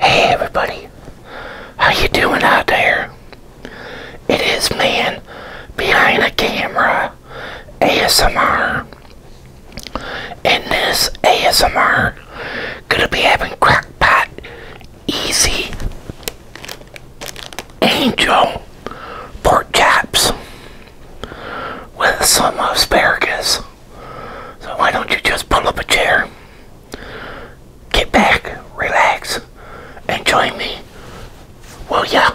Hey everybody, how you doing out there? It is man behind a camera ASMR. In this ASMR, gonna be having crackpot, easy angel pork chops with some asparagus. So why don't you just pull up a chair, get back, relax, and join me, Well, yeah.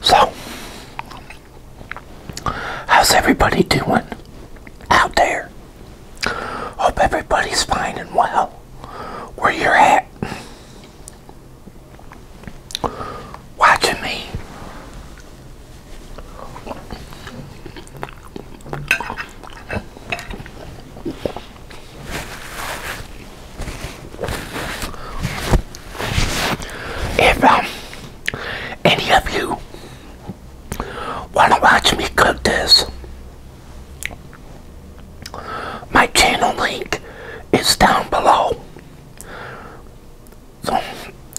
So, how's everybody doing out there? Hope everybody's fine and well where you're at watching me. If um, any of you want to watch me cook this, my channel link is down below. So,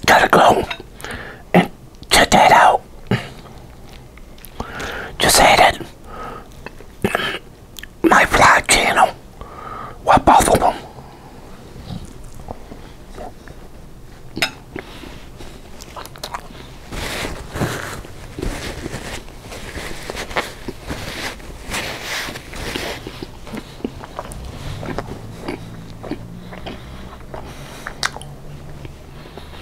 gotta go and check that out. Just added my vlog channel. Well, both of them.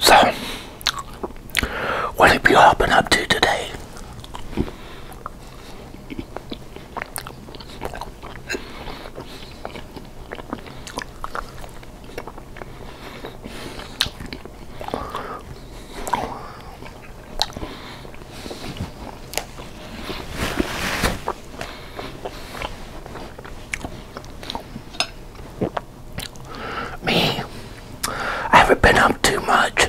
So, what have you all been up to today? Me, I haven't been up too much.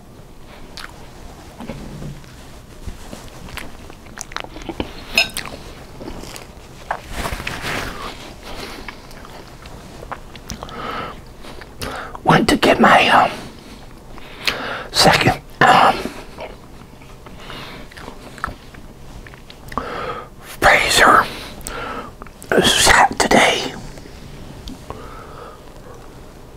Went to get my um, second Fraser freezer today.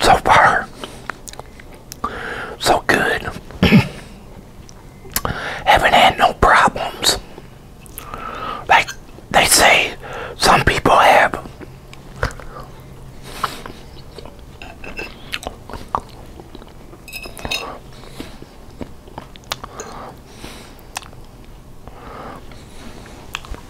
So far, so good. Haven't had no problems. Like they say, some people have.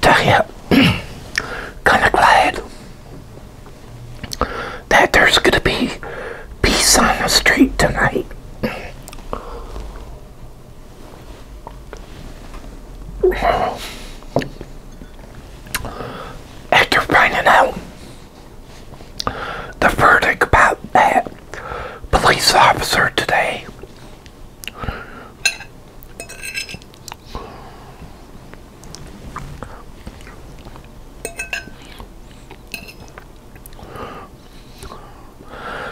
Tell you, kind of glad that there's going to be peace on the street tonight. After finding out the verdict about that police officer today.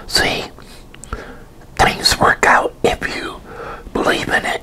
See, things work out if you believe in it.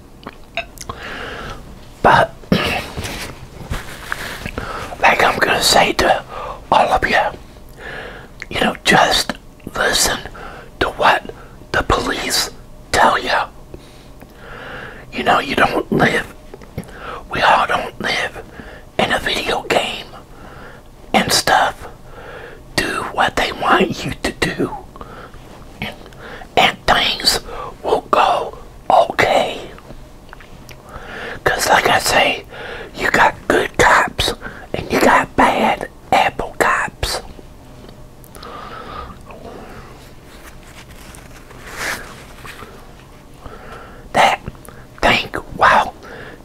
But, like I'm going to say to all of you, you know, just listen to what the police tell you. You know, you don't live, we all don't live in a video game and stuff. Do what they want you to do and things will go okay. Because, like I say, you got good cops and you got bad apple cops. That think, wow,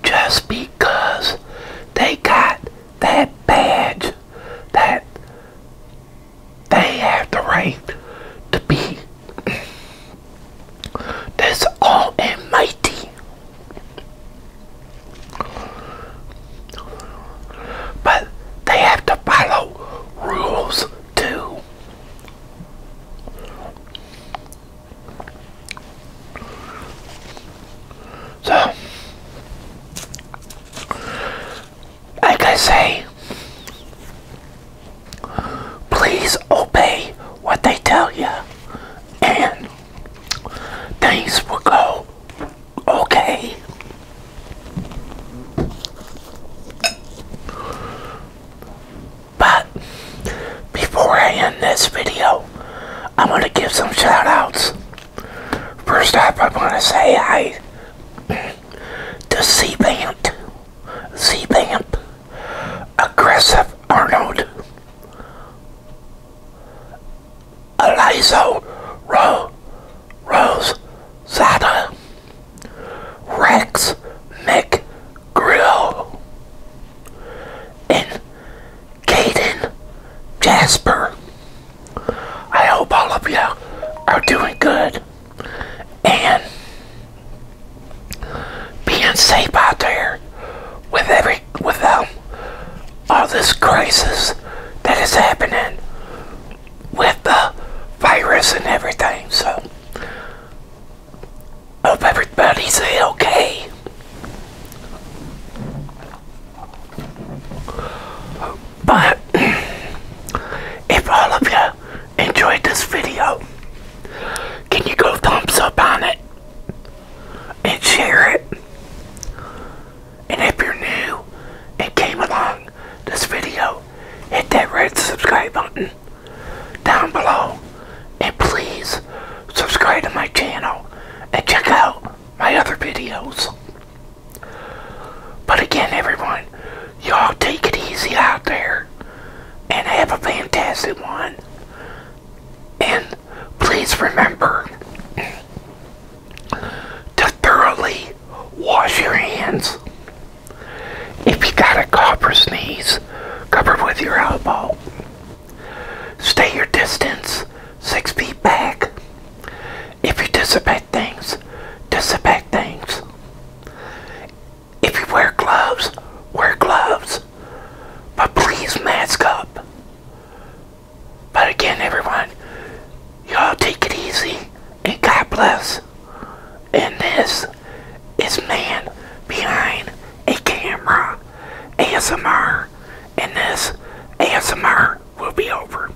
just because they got that badge, that they have the right to be this all and mighty. But they have to follow rules too. So like I say, please obey what they tell you, and things will go okay. But before I end this video, I'm going to give some shoutouts. First up, I want to say hi to Seavamp, Seavamp, Aggressive Arnold, Elizo Rose Zada, Rex Mick, McGrill, and Kaden, Jasper. I hope all of you are doing good and being safe out there with every with um, all this crisis that is happening with the virus and everything. So, hope everybody's okay. But if all of you enjoyed this video, can you go thumbs up on it and share it? And if you're new and came along this video, hit that red subscribe button down below. And please subscribe to my channel and check out my other videos. But again, everyone, y'all take it easy out there and have a fantastic one. And please remember to thoroughly wash your hands. If you got a cough or sneeze, cover with your elbow. Stay your distance, six feet back. If you disinfect things, disinfect things. If you wear gloves, wear gloves. But please mask up. But again, everyone, y'all take it easy and God bless. And this is Man Behind a Camera ASMR. And this ASMR will be over.